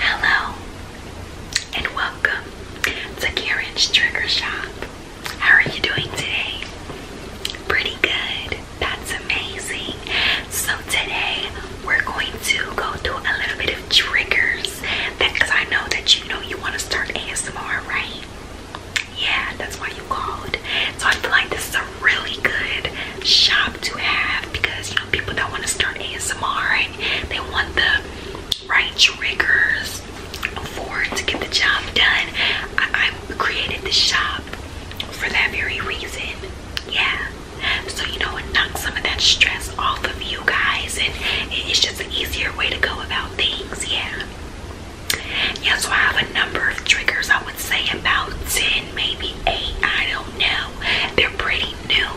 Hello and welcome to Karen's Trigger Shop. How are you doing today? Pretty good. That's amazing. So today we're going to go through a little bit of triggers because I know that you know you want to start ASMR, right? Yeah, that's why you called. So I feel like this is a really good shop to have because people that want to start ASMR and they want the right triggers for to get the job done. I, created this shop for that very reason. Yeah. So, you know, it some of that stress off of you guys and it's just an easier way to go about things. Yeah. Yeah, so I have a number of triggers. I would say about 10, maybe 8. I don't know. They're pretty new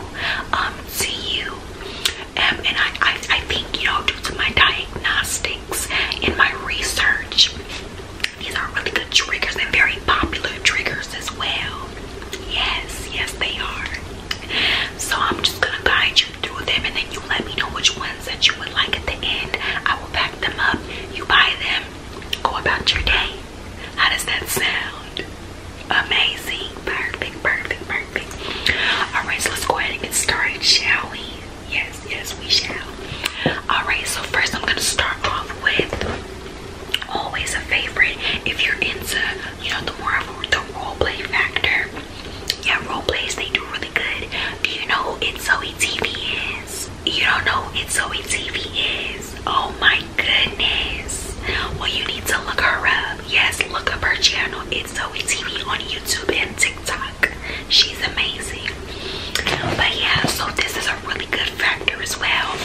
um, to um, and I, I, I think, you know, due to my diagnostics and my research, these are really good triggers and very popular triggers as well. Yes, yes, they are. So I'm just going to guide you through them and then you let me know which ones that you would like at the end. I will pack them up. You buy them. Go about your day. How does that sound? Amazing. Perfect, perfect, perfect. Alright, so let's go ahead and get started, shall we? Yes, yes, we shall. Alright, so first I'm going to start off with always a favorite. If you're into, you know, the more of the role play factor, yeah, role plays, they do really good. Do you know who It's Zoe TV is? You don't know who Zoe TV is? Oh my goodness. Well, you need to look her up. Yes, look up her channel. It's Zoe TV on YouTube and TikTok. She's amazing. But yeah, so this is a really good factor as well.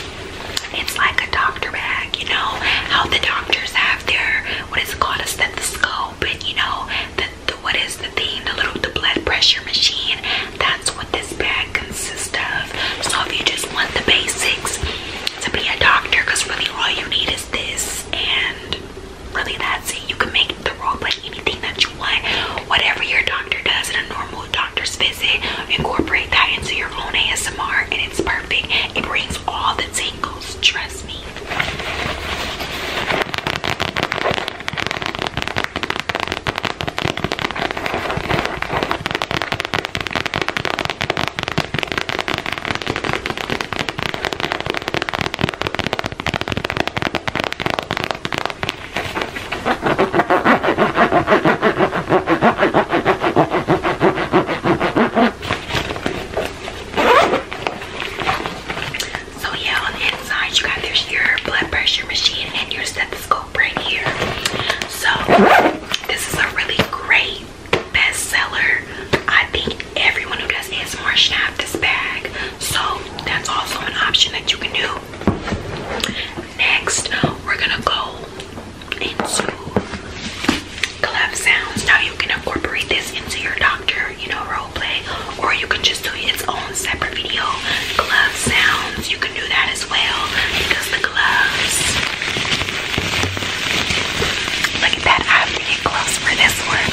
It's like a doctor bag, you know, how the doctors have their, what is it called, a stethoscope, and you know, the, what is the thing, the little, the blood pressure machine. That's what this bag that consist of. So if you just want the basics to be a doctor, because really all you need is this, and really that's it. You can make the role play anything that you want. Whatever your doctor does in a normal doctor's visit, incorporate that into your own ASMR, and it's perfect. It brings all the tingles, trust me. So yeah, on the inside you got there's your blood pressure machine and your stethoscope right here. So this is a really great bestseller. I think everyone who does ASMR should have this bag. So that's also an option that you can do. Next, we're gonna go into glove sounds. Now you can incorporate this into your doctor, you know, role or you can just do its own separate video. Glove sounds, you can do that because the gloves. Look at that. I have to get for this one.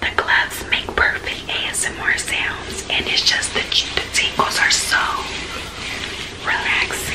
The gloves make perfect ASMR sounds, and it's just the, the tingles are so relaxing.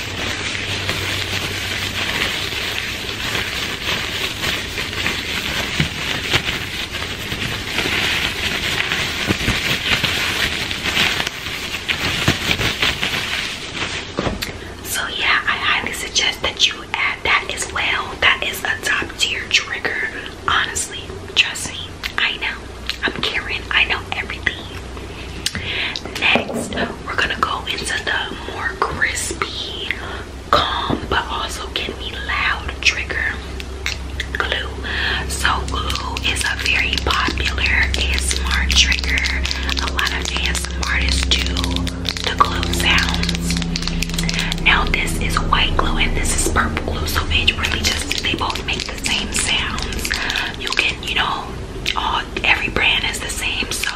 So yeah, I highly suggest that you add that as well. That is a top tier trigger. Honestly, trust me. I know. I'm Karen. I know everything. Next, we're gonna go into the more crispy, calm, but also can be loud trigger glue. So glue is a very popular smart trigger. A lot of ASMR artists do the glue sounds. Now this is white glue and this is purple glue. So it really just they both make the same sounds. You can, you know, every brand is the same. So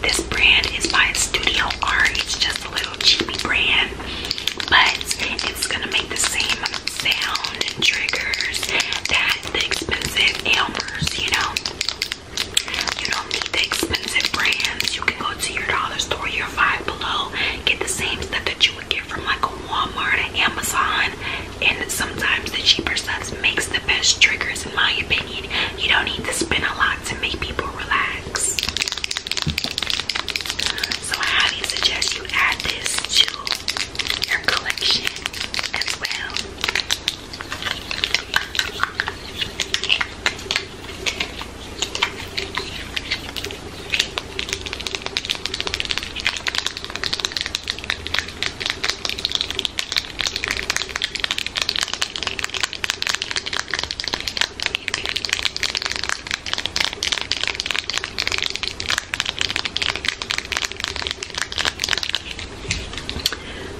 this brand is by Studio Art. It's just a little cheapy brand, but it's gonna make the same sound and triggers that the expensive Elmer's. You know, you don't need the expensive brands. You can go to your dollar store, your Five Below, get the same stuff that you would get from like a Walmart or Amazon and sometimes the cheaper stuff makes the best triggers in my opinion. You don't need to spend a lot to make people relax. So I highly suggest you add this to your collection as well.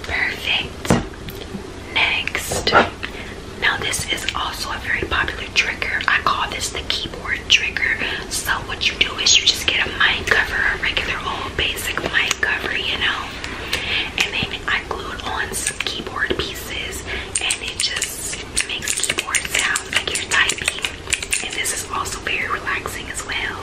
Perfect. Next. Now, this is also a very popular trigger. I call this the keyboard trigger so what you do is you just get a mic cover, a regular old basic mic cover, you know. And then I glued on some keyboard pieces and it just makes keyboard sound like you're typing. And this is also very relaxing as well.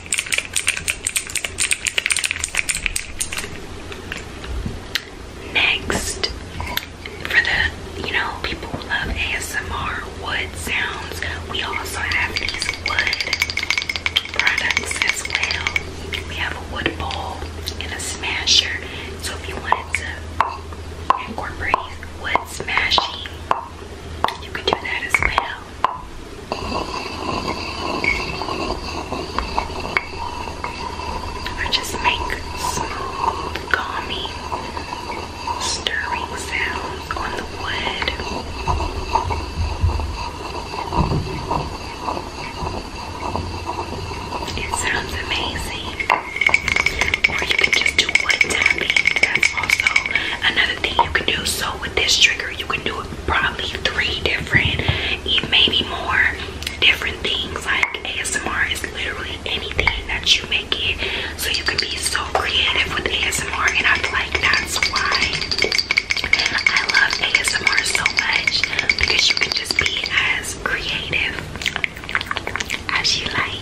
Next, for the you know people who love ASMR wood sounds, we also have these wood products as well. We have a wood bowl and a smasher. So if you wanted to incorporate wood smashing, you could do that as well or just make small, calming, stirring sounds on the wood. It sounds amazing. Or you can just do wood tapping. That's also another thing you can do. So with this trigger, you can do probably three different, maybe more different things. Like ASMR is literally anything that you make it. So you can be so creative with ASMR and I feel like that's why I love ASMR so much because you can just be as creative as you like.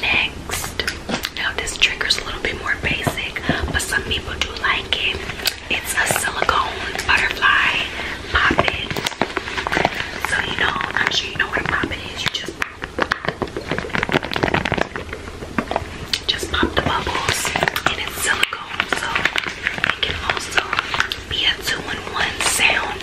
Next, now this trigger's a little bit more basic, but some people do like it. It's a silicone butterfly poppet. So you know, I'm sure you know what a poppet is. You just just pop the bubbles, and it's silicone, so it can also be a two-in-one sound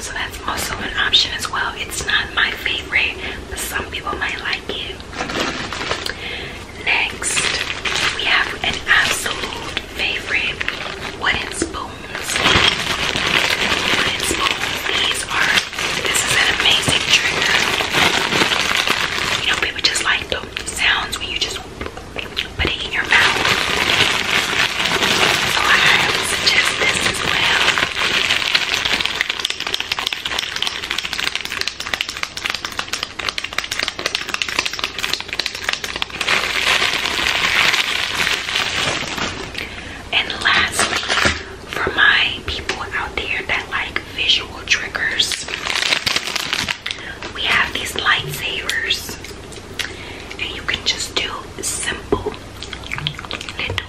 So that's also an option as well. It's not my favorite, but some people might like it. Next, we have an absolute favorite wooden spoons. Wooden spoons. These are, this is an amazing trigger. You know, people just like the sounds when you just put it in your mouth. So I highly suggest this as well. And lastly, for my people out there that like visual triggers, we have these lightsabers and you can just do simple little,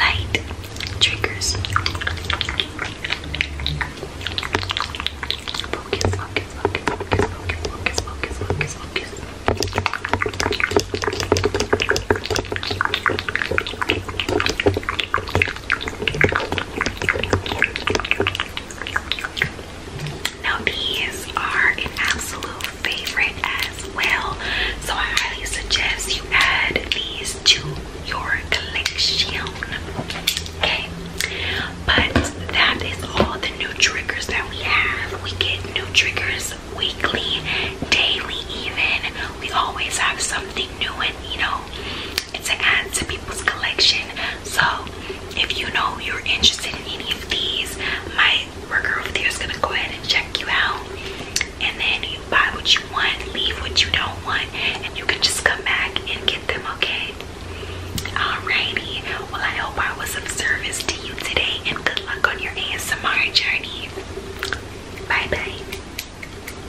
light triggers. focus, focus, focus, focus, focus, focus, focus, focus. Now these are an absolute favorite as well. So I highly suggest you add these to your collection. Okay. But that is all the new triggers that we have. We get new triggers weekly, daily even. We always have something new and you know to add to people's collection. So if you know you're interested in any of these, my worker over there is gonna go ahead and check you out. And then you buy what you want, leave what you don't want, and you can just come back and get them, okay? Alrighty. Well, I hope I was of service to you today, and good luck on your ASMR journey. Bye bye.